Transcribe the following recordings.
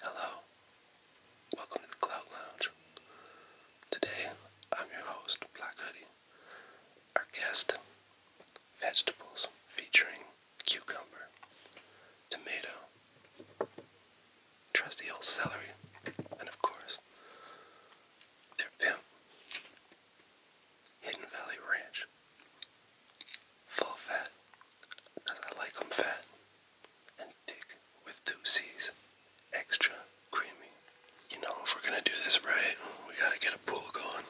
Hello, welcome to the Cloud Lounge. Today, I'm your host, Black Hoodie. Our guest, vegetables featuring cucumber, tomato, trusty old celery, and of course, their pimp, Hidden Valley Ranch. Full fat, I like 'em fat and thick with two C's. Extra creamy. You know, if we're gonna do this right, we gotta get a pool going.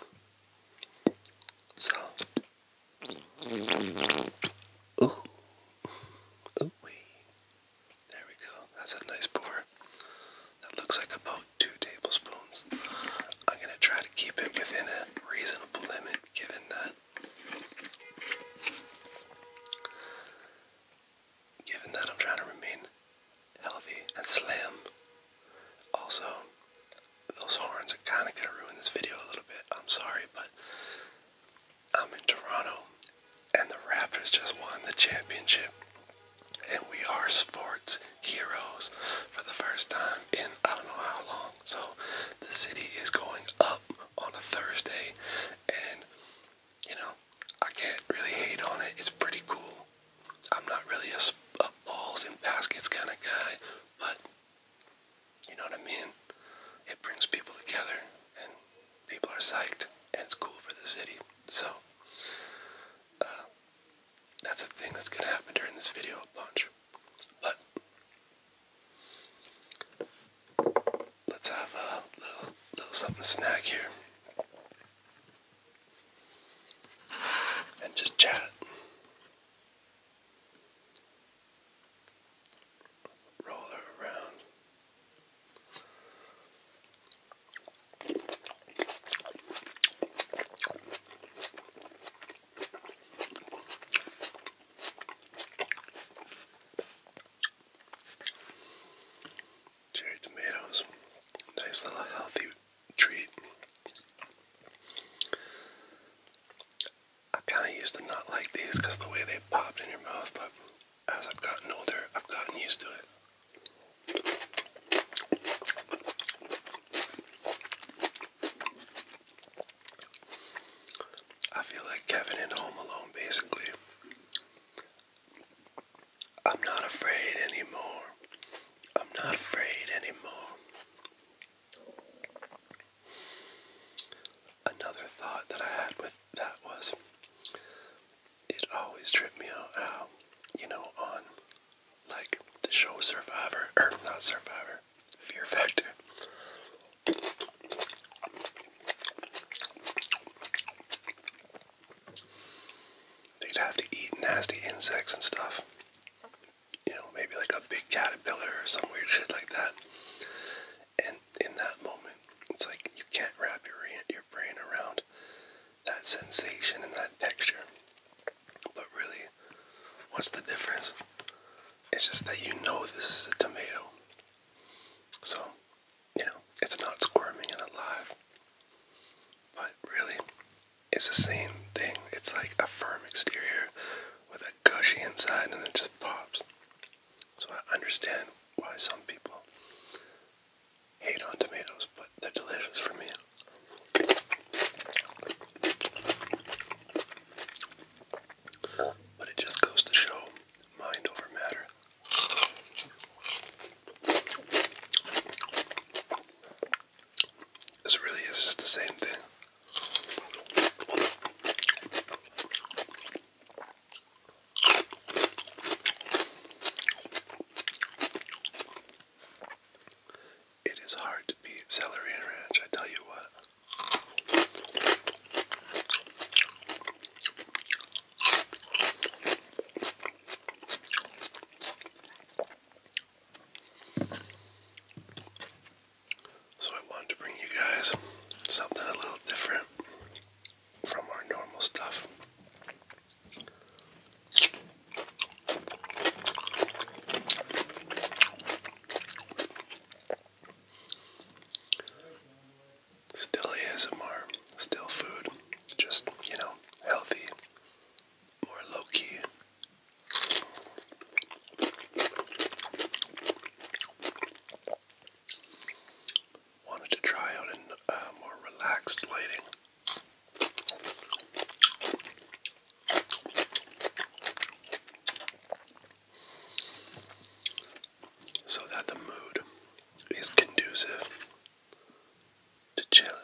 So. Ooh. Ooh wee. There we go. That's a nice pour. That looks like about two tablespoons. I'm gonna try to keep it within a reasonable limit given that Given that I'm trying to remain healthy and slim, also, those horns are kind of going to ruin this video a little bit. I'm sorry, but I'm in Toronto, and the Raptors just won the championship. And we are sports heroes for the first time in I don't know how long. So the city is going up on a Thursday, and you know, I can't really hate on it. It's pretty cool. I'm not really a, a balls and baskets kind of guy, but you know what I mean? It brings people together, and people are psyched, and it's cool for the city. So, uh, that's a thing that's going to happen during this video a But Let's have a little, little something snack here. And just chat. Roll around. Cherry tomatoes, nice little healthy treat. I kind of used to not like these because the way they popped in your mouth, but as I've gotten older, I've gotten used to it. I feel like Kevin in Home Alone, basically. I'm not afraid anymore. I'm not afraid anymore. Another thought that I had with that was it always tripped me out how, you know, on like the show Survivor, or not Survivor, Fear Factor. They'd have to eat nasty insects and stuff. You know, maybe like a big caterpillar or some weird shit like that. And in that moment, it's like you can't wrap your your brain around that sensation and that texture. But really, what's the difference? It's just that you know this is a tomato. So, you know, it's not squirming and alive. But really, it's the same thing. It's like a firm exterior with a gushy inside and it just pops. So I understand why some people hate on tomatoes, but they're delicious for me. But it just goes to show mind over matter. This really is just the same thing. It is hard to beat celery and ranch, I tell you what. So, I wanted to bring you guys something a little different from our normal stuff. Still ASMR, still food, just, you know, healthy, more low key. Wanted to try out a uh, more relaxed lighting so that the mood is conducive to chilling.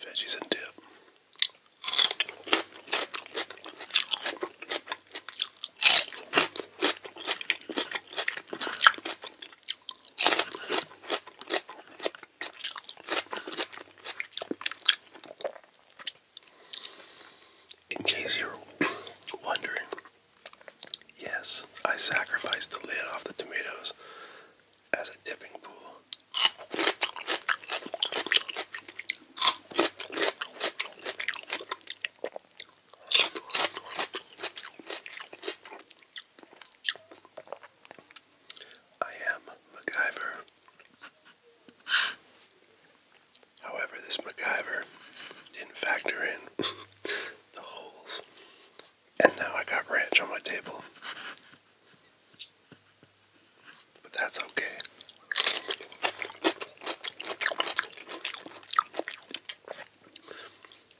Veggies and dip. In case you're wondering, yes, I sacrificed the lid off the tomatoes as a dipping pool I am MacGyver. However, this MacGyver didn't factor in the holes, and now I got ranch on my table. But that's okay.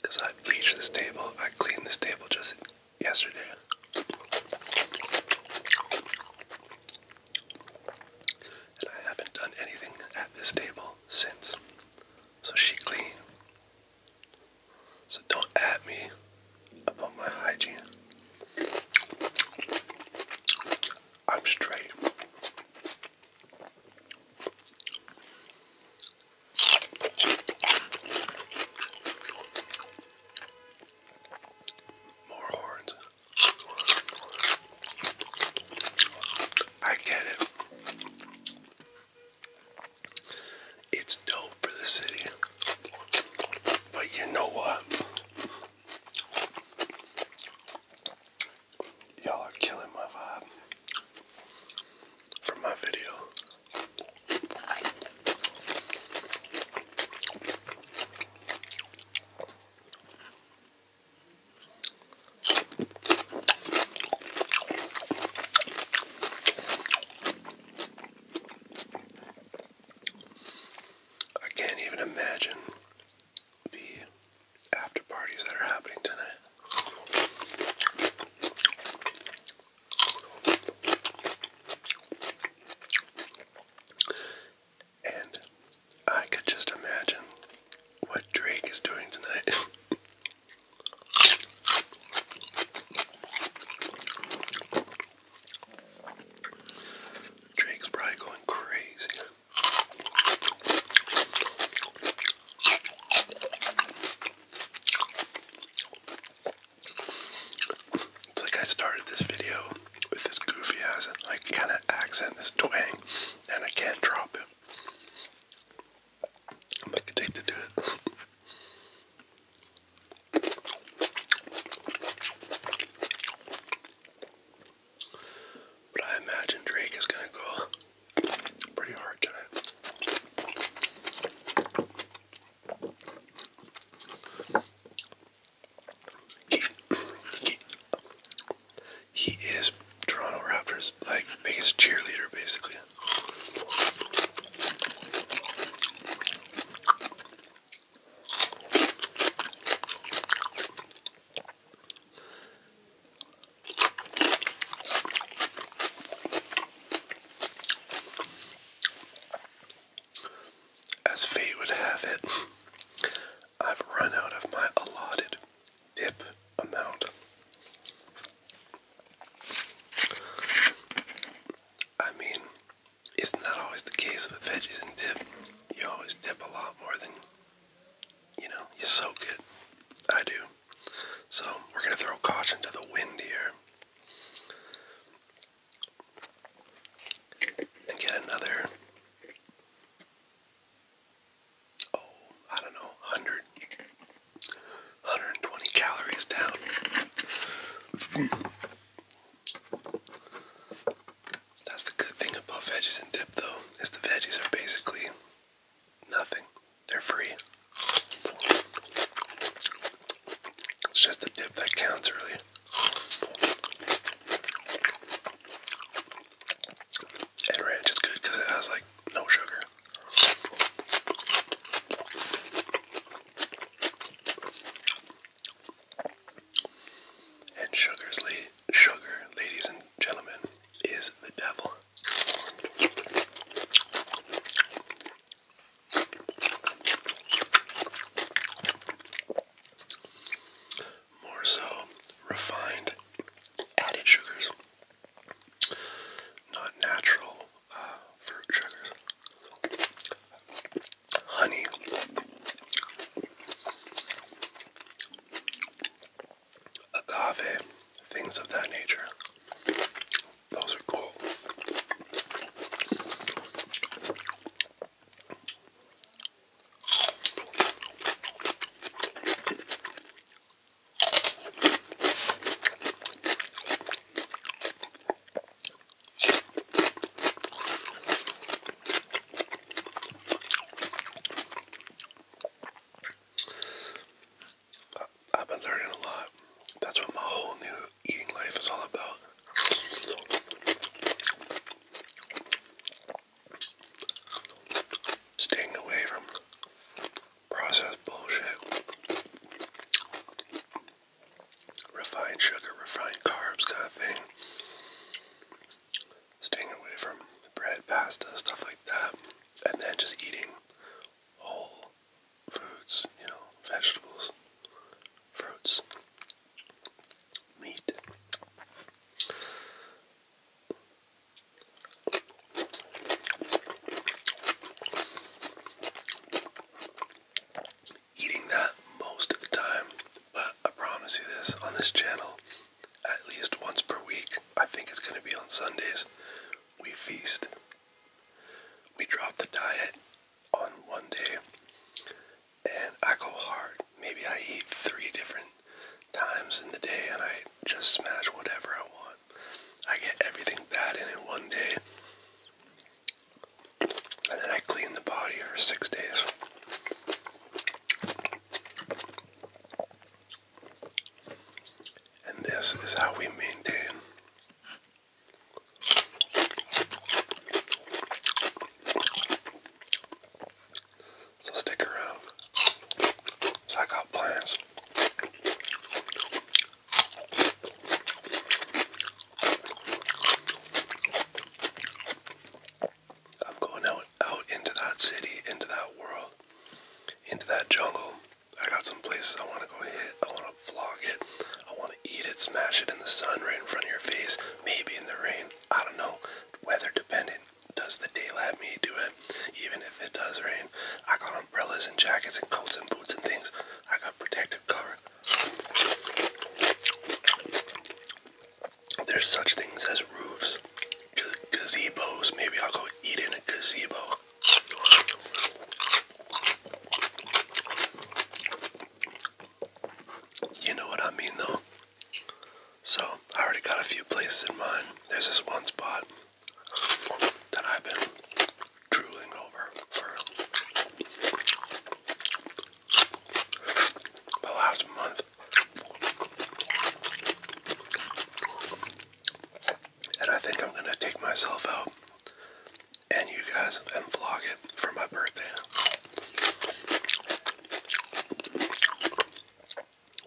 Because I bleached this table, I cleaned this table just yesterday. And I haven't done anything at this table since. So she cleaned. So don't at me about my hygiene. I'm straight. More horns. I get it. It's dope for the city. But you know what? Y'all are killing my vibe for my video. I can't even imagine the after parties that are happening tonight. And I could just imagine what Drake is doing tonight. Drake's probably going crazy. It's like I started this video with this goofy ass like kind of accent, this twang, and I can't drop it. I'm addicted to it. But I imagine Drake is going to go pretty hard tonight. He, he, he is Toronto Raptors like biggest cheerleader basically. As fate would have it, I've run out of my allotted dip amount. I mean, it's not always the case with veggies and dip. You always dip a lot more than, you know, you soak it. I do. So we're going to throw caution to the wind here. And get another, oh, I don't know, 100, calories down. That's the good thing about veggies and dip though, is the veggies are basically nothing. They're free. It's just the dip that counts really. And ranch is good because it has like no sugar. And sugar's la sugar, ladies and gentlemen, is the devil. More so, refined added sugars, not natural uh, fruit sugars honey. Agave, things of that nature. Those are cool. I've been learning a lot. That's what my whole new eating life is all about. Staying away from processed bullshit refined sugar, refined carbs kind of thing. Staying away from bread, pasta, stuff like that. And then just eating whole foods, you know, vegetables, fruits, meat eating that most of the time, but I promise you this on this channel, at least once per week, I think it's going to be on Sundays, we feast. We drop the diet on one day, and I go hard. Maybe I eat three different times in the day and I just smash whatever I want. I get everything bad in it one day. And then I clean the body for six days. And this is how we maintain so stick around. So I got plans. I'm going out out into that city, into that world, into that jungle. I got some places I want to go hit. I want to vlog it. I want to eat it, smash it in the sun right in front of your face, maybe in the rain. I don't know. Weather dependent. Does the day let me do it? Even if it does rain, I got umbrellas and jackets and coats and boots and things. I got protective cover there's such things as roofs, gazebos. Maybe I'll go eat in a gazebo. You know what I mean, though. So I already got a few places in mind. There's this one spot that I've been drooling over for the last month. And I think I'm going to take myself out and you guys and vlog it for my birthday.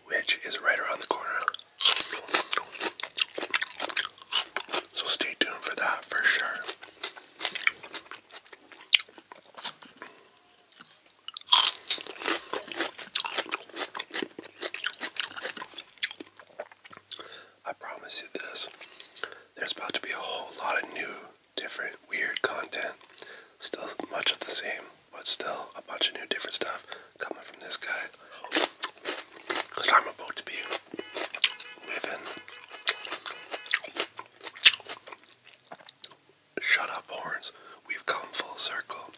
Which is right around the corner. So stay tuned for that for sure. I promise you this. There's about to be a whole lot of new, different, weird content. Still much of the same, but still a bunch of new, different stuff coming from this guy. Because I'm about to be living Shut up, horns. We've come full circle.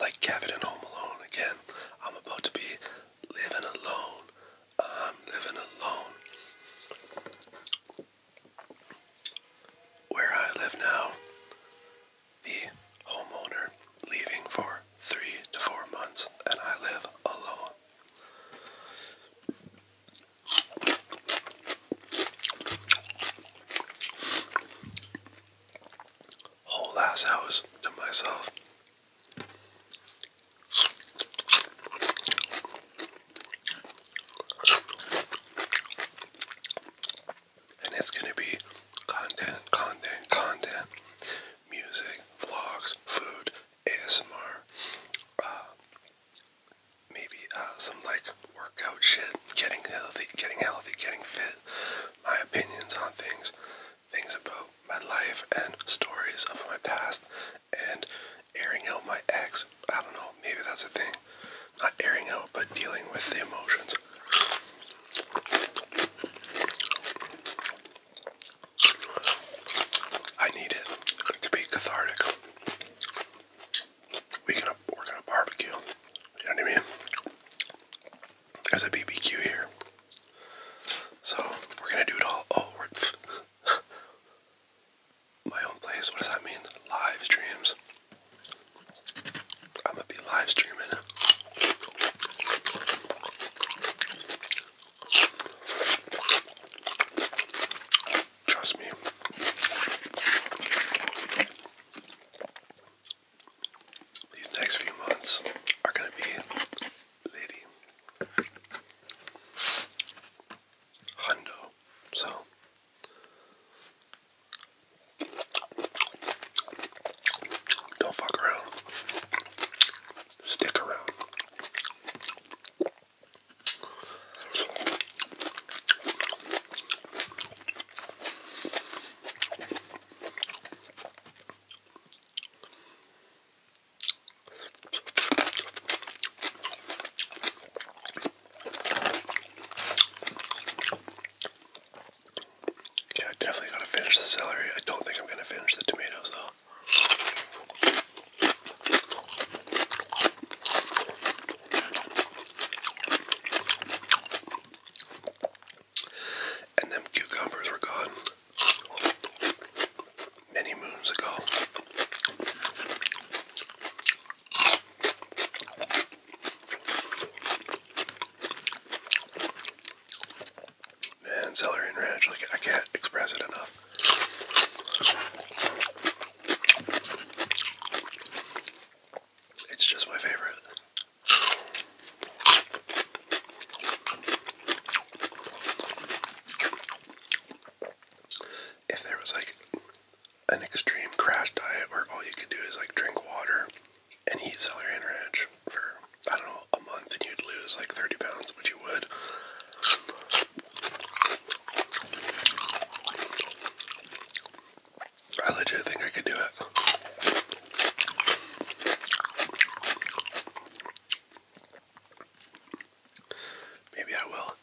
Like Kevin and Home Alone. Again, I'm about to be living alone. I'm living alone. Where I live now, the homeowner leaving for three to four months, and I live alone. Whole ass house to myself. And it's gonna be content, content, content, music, vlogs, food, ASMR, uh, maybe uh, some like workout shit, getting healthy, getting healthy, getting fit, my opinions on things, things about my life and stories of my past, and airing out my ex. I don't know, maybe that's a thing. Not airing out, but dealing with the emotions. I need it to be cathartic we can work on a barbecue. You know what I mean? There's a BBQ here. So we're gonna do it all. Oh, my own place. What does that mean? Live streams. I'm gonna be live Trust me. These next few months are going to be lady hundo. So don't fuck around. Stick around. Yeah, I definitely gotta finish the celery. I don't think I'm gonna finish the tomatoes though. And them cucumbers were gone many moons ago. Man, celery and ranch, like I can't express it enough. It's just my favorite. If there was like an extreme crash diet where all you could do is like drink water and eat celery and ranch for I don't know a month and you'd lose like 30 pounds, which you would. I legit think I could do it. Maybe I will.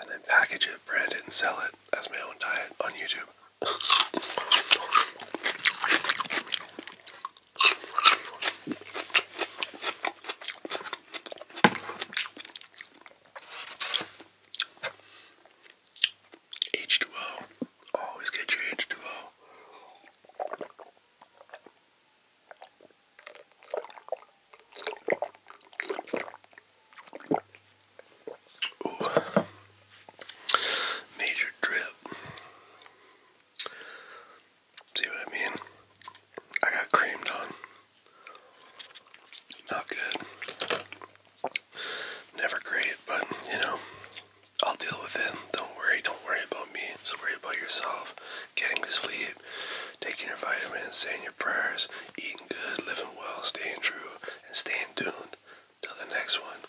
And then package it, brand it, and sell it as my own diet on YouTube. H2O. Always get your H2O. Ooh. Major drip. See what I mean? I got creamed on. Not good. Never great, but you know, I'll deal with it. Don't worry. Don't worry about me. Just worry about yourself. Getting to sleep, taking your vitamins, saying your prayers, eating good, living well, staying true, and staying tuned. Till the next one.